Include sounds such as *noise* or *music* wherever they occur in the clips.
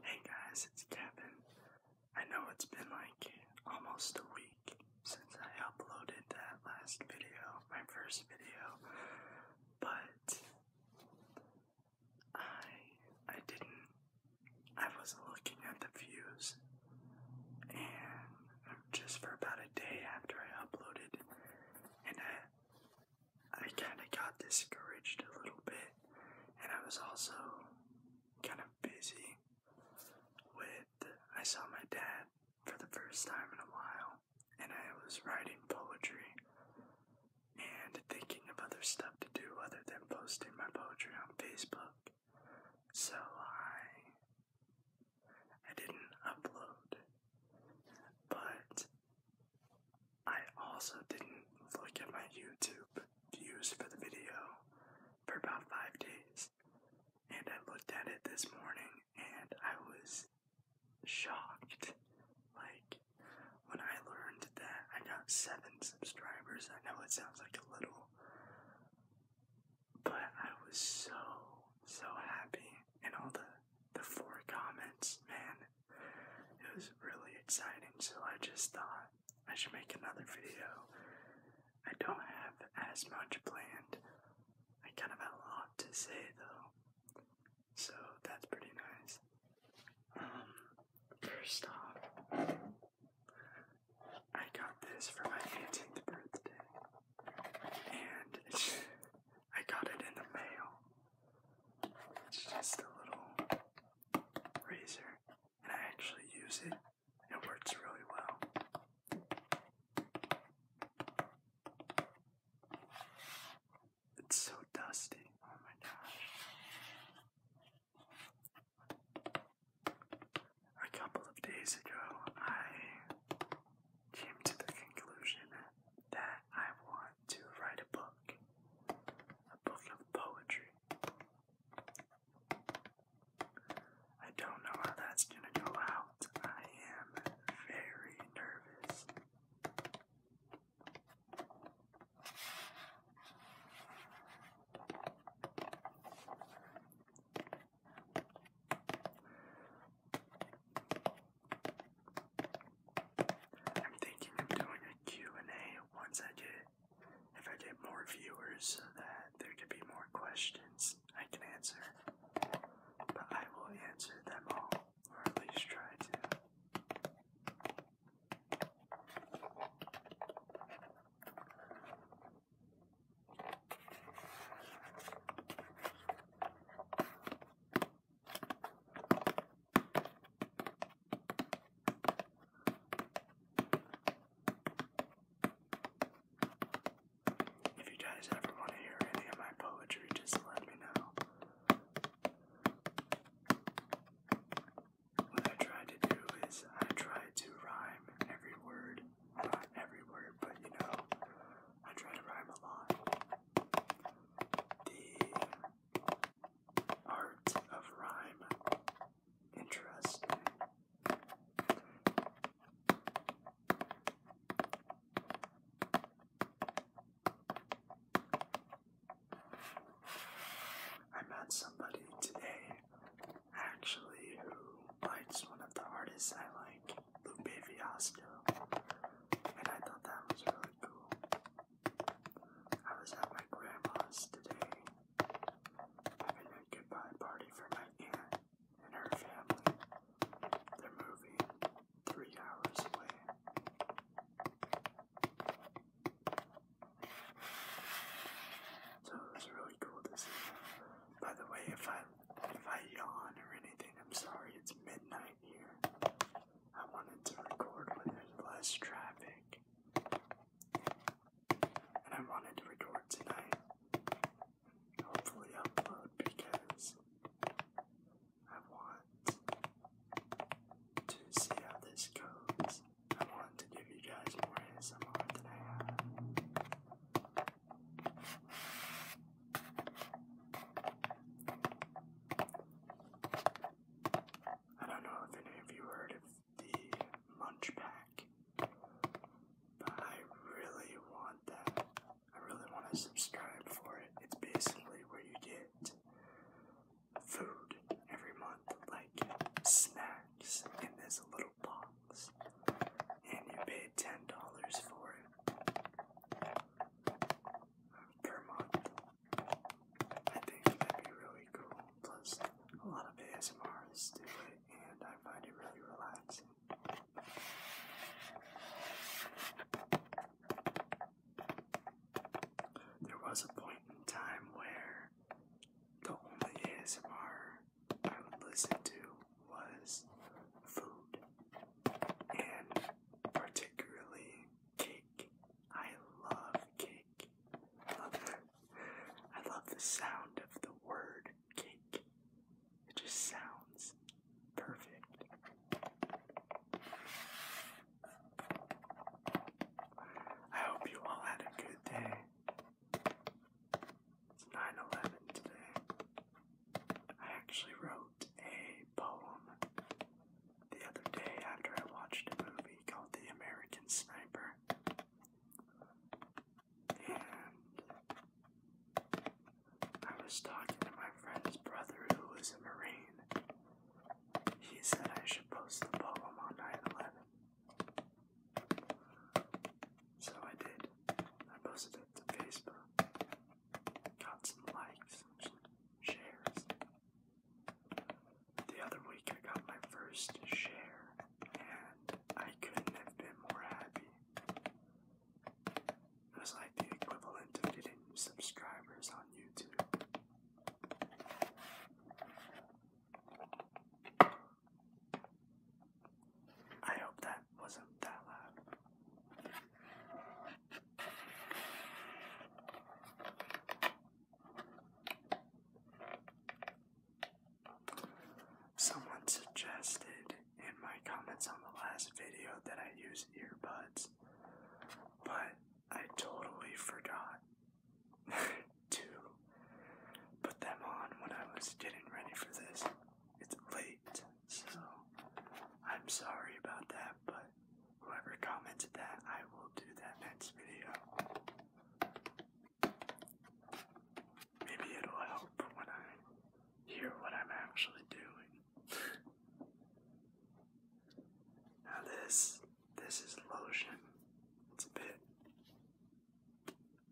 Hey guys, it's Kevin. I know it's been like almost a week since I uploaded that last video, my first video, but I I didn't I was not looking at the views and just for about a day after I uploaded and I I kind of got discouraged a little bit, and I was also kind of busy with. I saw my dad for the first time in a while, and I was writing poetry and thinking of other stuff to do other than posting my poetry on Facebook. So I I didn't upload. But I also didn't look at my YouTube views for the video for about five days, and I looked at it this morning and I was shocked. Like, when I learned that I got seven subscribers, I know it sounds like a little, but I was so, so happy. And all the, the four comments, man, it was really exciting, so I just thought I should make another video. I don't have as much planned. I kind of have a lot to say though, so that's pretty nice. Um, first off, I got this for my 18th birthday, and I got it in the mail. It's just a little razor, and I actually use it. It works really well. It's so dusty. Oh my gosh. A couple of days ago, I came to the conclusion that I want to write a book, a book of poetry. I don't know how that's going to go out. I am very nervous. I'm thinking of doing a Q&A once I get, if I get more viewers so that there could be more questions I can answer. But I will answer them all, or at least try to. If you guys ever want to hear any of my poetry, just let me know. What I try to do is I try to rhyme every word. Not every word, but you know, I try to rhyme a lot. The Art of Rhyme. Interesting. I met somebody today, actually, who likes one of the artists I like, Lupe Fiasco, and I thought that was really cool. I was at my grandma's today, having a goodbye party for my aunt and her family. They're moving three hours away. So it was really cool to see. By the way, if I if I yawn or anything, I'm sorry. It's midnight. I wanted to record when there's less traffic. And I wanted to record tonight. Hopefully, upload because I want to see how this goes. I want to give you guys more ASMR than I have. I don't know if any of you heard of the Munch Pack, but I really want that. I really want to subscribe for it. It's basically where you get food every month, like snacks in this little box, and you pay $10 for it per month. I think that'd be really cool. Plus, a lot of ASMRs do it, and I find it really relaxing. There was a point in time where the only ASMR I would listen to was food, and particularly cake. I love cake. Love I love the sound of the word cake. It just sounds perfect. I hope you all had a good day. It's 9 today. I actually wrote a poem the other day after I watched a movie called The American Sniper. And I was talking to my friend's brother who is a Marine. He said I should post the poem on 9 11. So I did. I posted it to Facebook got some likes, some shares. The other week I got my first share, and I couldn't have been more happy. It was like the equivalent of getting subscribers on YouTube. I hope that wasn't that loud. Someone suggested in my comments on the last video that I use earbuds, but I totally forgot *laughs* to put them on when I was getting ready for this. It's late, so I'm sorry about that, but Whoever commented that, I will do that next video. Maybe it'll help when I hear what I'm actually doing. *laughs* now this this is lotion. It's a bit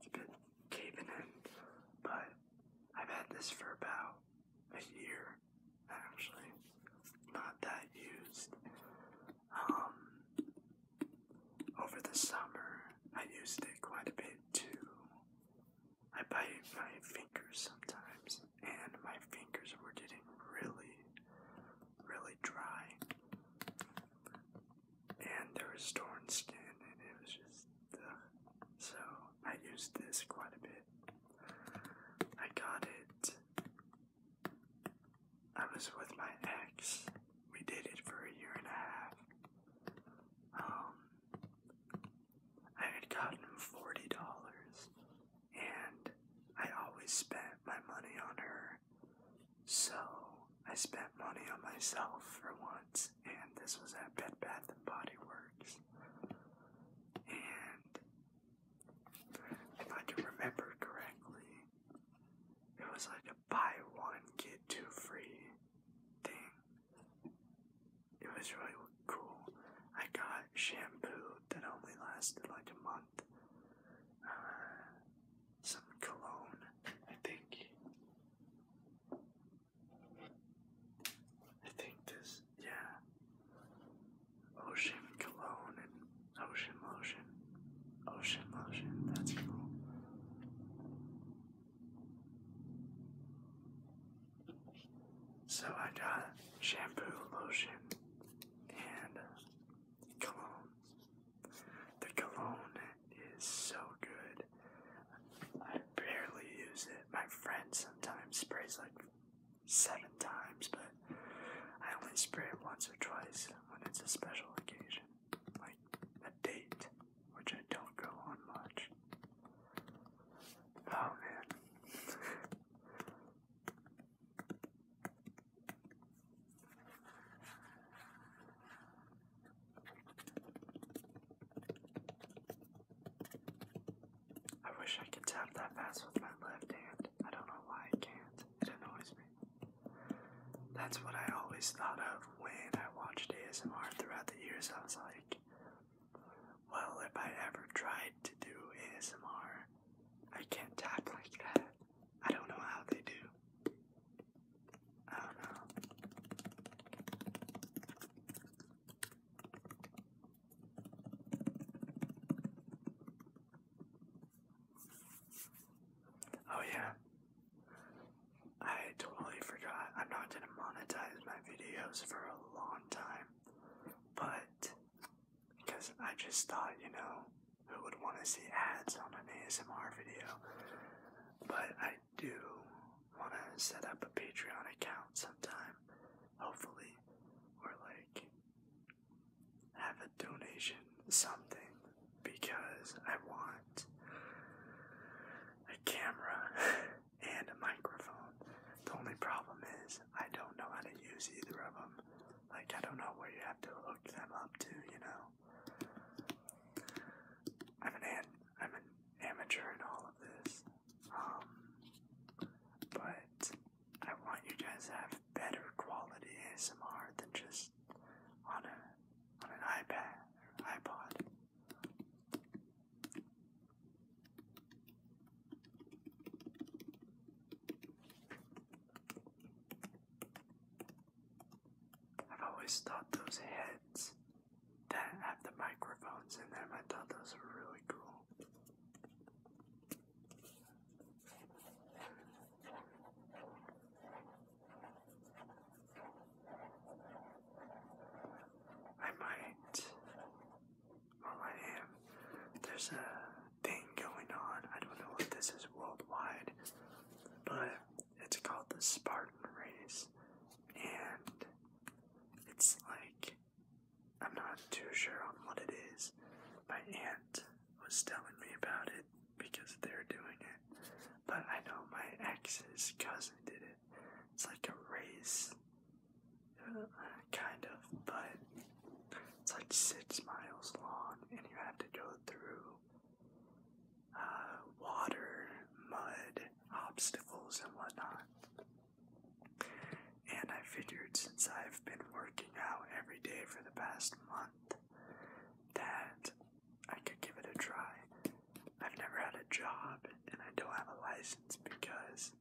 it's a bit caving in, but I've had this for about a year actually. Not that used. Um, over the summer, I used it quite a bit too. I bite my fingers sometimes, and my fingers were getting really, really dry. And there was torn skin, and it was just. So I used this quite a bit. I got it. I was with my ex. We did it for a year and a half. Um, I had gotten forty dollars, and I always spent my money on her. So I spent money on myself for once, and this was at Bed Bath and Body Works. And if I do remember correctly, it was like a buy one, get two free thing. It was really cool. I got shampoo that only lasted like a month, uh, some cologne, I think. I think this yeah. Ocean cologne and ocean lotion. Ocean lotion, that's cool. So I got shampoo, lotion, and cologne. The cologne is so good. I barely use it. My friend sometimes sprays like seven times, but I only spray it once or twice when it's a special occasion, like a date, which I don't go on much. Oh man. I wish I could tap that fast with my left hand. I don't know why I can't. It annoys me. That's what I always thought of when I watched ASMR throughout the years. I was like, well, if I ever tried to do ASMR, I can't tap like that. I don't know how they do. I don't know. Oh yeah. I totally forgot. I'm not gonna monetize my videos for a long time. But because I just thought, you know, who would want to see ads on an ASMR video? But I do want to set up a Patreon account sometime, hopefully, or like have a donation, something, because I want a camera *laughs* and a microphone. The only problem is I don't know how to use either of them. Like, I don't know where you have to hook them up to, you know? I'm an, I'm an amateur in all of this. Um, but I want you guys to have better quality ASMR than just on a on an iPad or iPod. I've always thought those heads that have the microphones in them. I thought those were really cool. I might. Well, oh, I am. There's a thing going on. I don't know if this is worldwide, but it's called the Spartan Race. And it's like I'm not too sure on what it is. My aunt was telling me about it because they're doing it. But I know my ex's cousin did it. It's like a race, uh, kind of, but it's like six miles long, and you have to go through uh, water, mud, obstacles, and whatnot. And I figured since I've been working out every day for the past month that I could give it a try. I've never had a job and I don't have a license because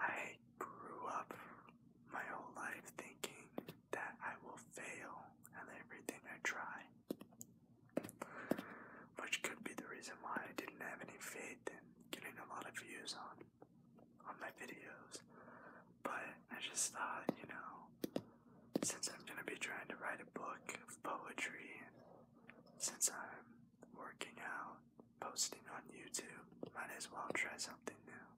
I grew up my whole life thinking that I will fail at everything I try which could be the reason why I didn't have any faith in getting a lot of views on on my videos. But I just thought, you know, since I'm gonna be trying to write a book of poetry and since I'm working out, posting on YouTube, might as well try something new.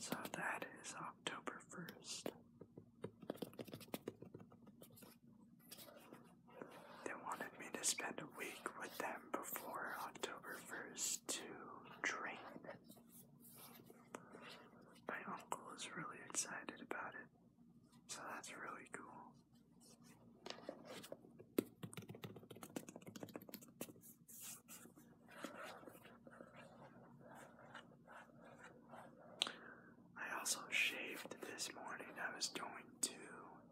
So that is October 1st. They wanted me to spend a week with them before October 1st to drink. My uncle is really excited about it, so that's really cool. I also shaved this morning. I was going to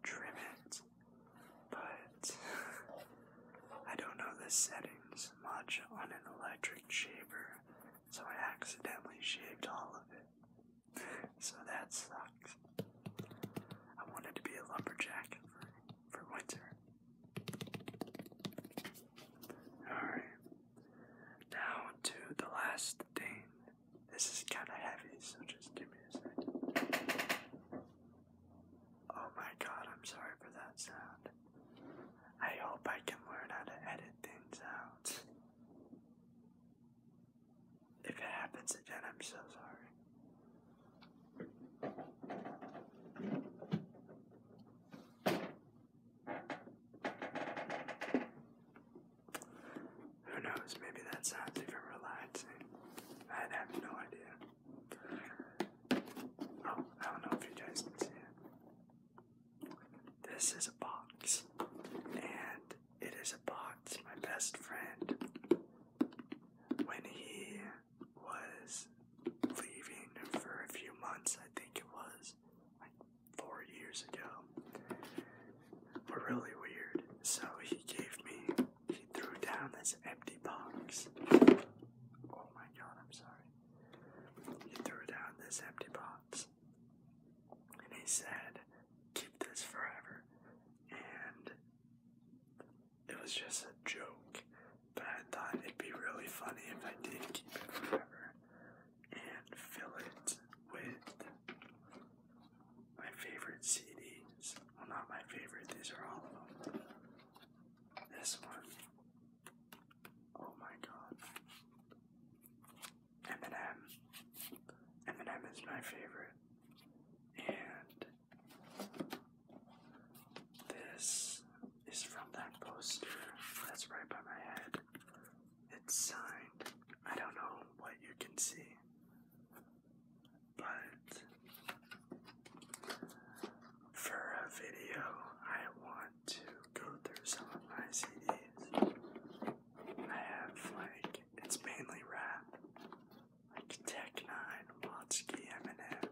trim it, but *laughs* I don't know the settings much on an electric shaver, so I accidentally shaved all of it. *laughs* so that sucks. I wanted to be a lumberjack for, for winter. Alright, now to the last thing this is kind of heavy, so just give me a second. Oh my god, I'm sorry for that sound. I hope I can learn how to edit things out. If it happens again, I'm so sorry. Who knows? Maybe that sounds even relaxing. i have no idea. Oh, I don't know if you guys can see This is a box, and it is a box my best friend, when he was leaving for a few months, I think it was, four years ago were really weird. So he gave me, he threw down this empty box. Oh my god, I'm sorry. He threw down this empty box. And he said, keep this forever. And it was just a joke. But I thought it'd be really funny if I did keep it forever and fill it with my favorite CDs. Well, not my favorite, these are all of them. This one. Oh my god. Eminem. Eminem is my favorite. And this is from that poster that's right by my head. It's signed. I don't know what you can see, but for a video, I want to go through some of my CDs. I have like, it's mainly rap, like Tech Nine, Watsky, Eminem.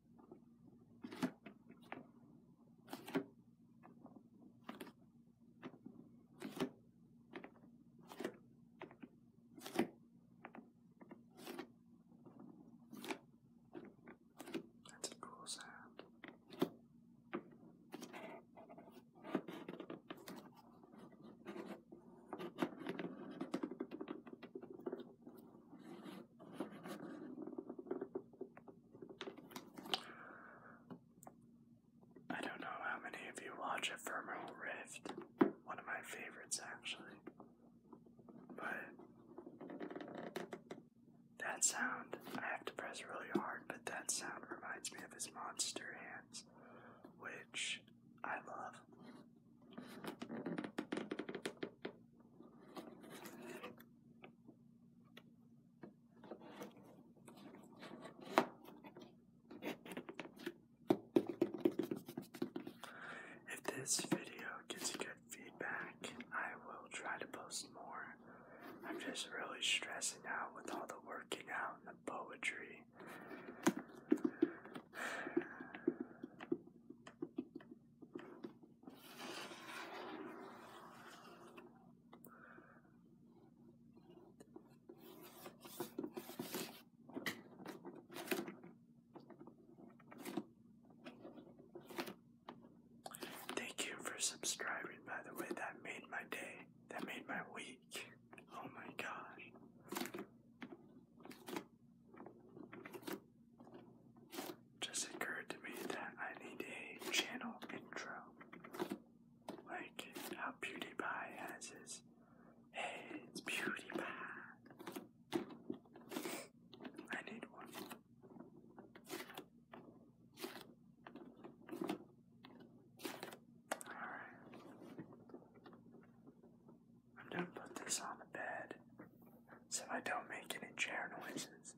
That's a cool sound. I don't know how many of you watch Ephemeral Rift, one of my favorites actually, but that sound, I have to press really hard, but that sound reminds me of his monster hands, which I love. If this video gets good feedback, I will try to post more. I'm just really stressing out with all the working out and the poetry. Thank you for subscribing, by the way. That made my day. That made my week. Oh my gosh. Just occurred to me that I need a channel intro. Like how PewDiePie has his Hey, it's Beauty PewDiePie. I need one. Alright. I'm gonna put this on the bed so I don't make any chair noises.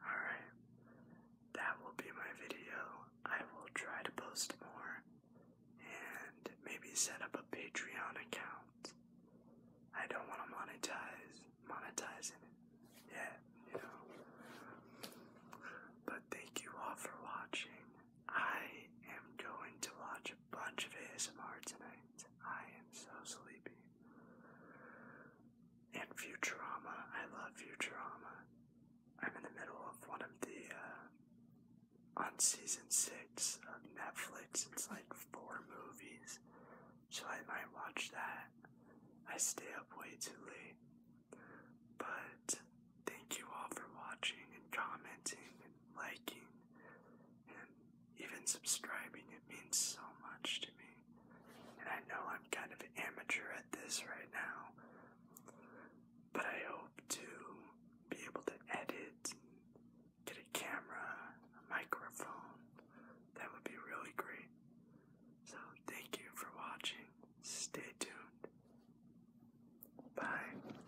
Alright, that will be my video. I will try to post more and maybe set up a Patreon account. I don't want to monetize, monetizing it yet, you know. But thank you all for watching. I am going to watch bunch of ASMR tonight. I am so sleepy. And Futurama. I love Futurama. I'm in the middle of one of the, uh, on season six of Netflix. It's like four movies. So I might watch that. I stay up way too late. But thank you all for watching and commenting liking and even subscribing. It means so much to me. And I know I'm kind of amateur at this right now, but I hope to be able to edit get a camera, microphone. That would be really great. So thank you for watching. Stay tuned. Bye.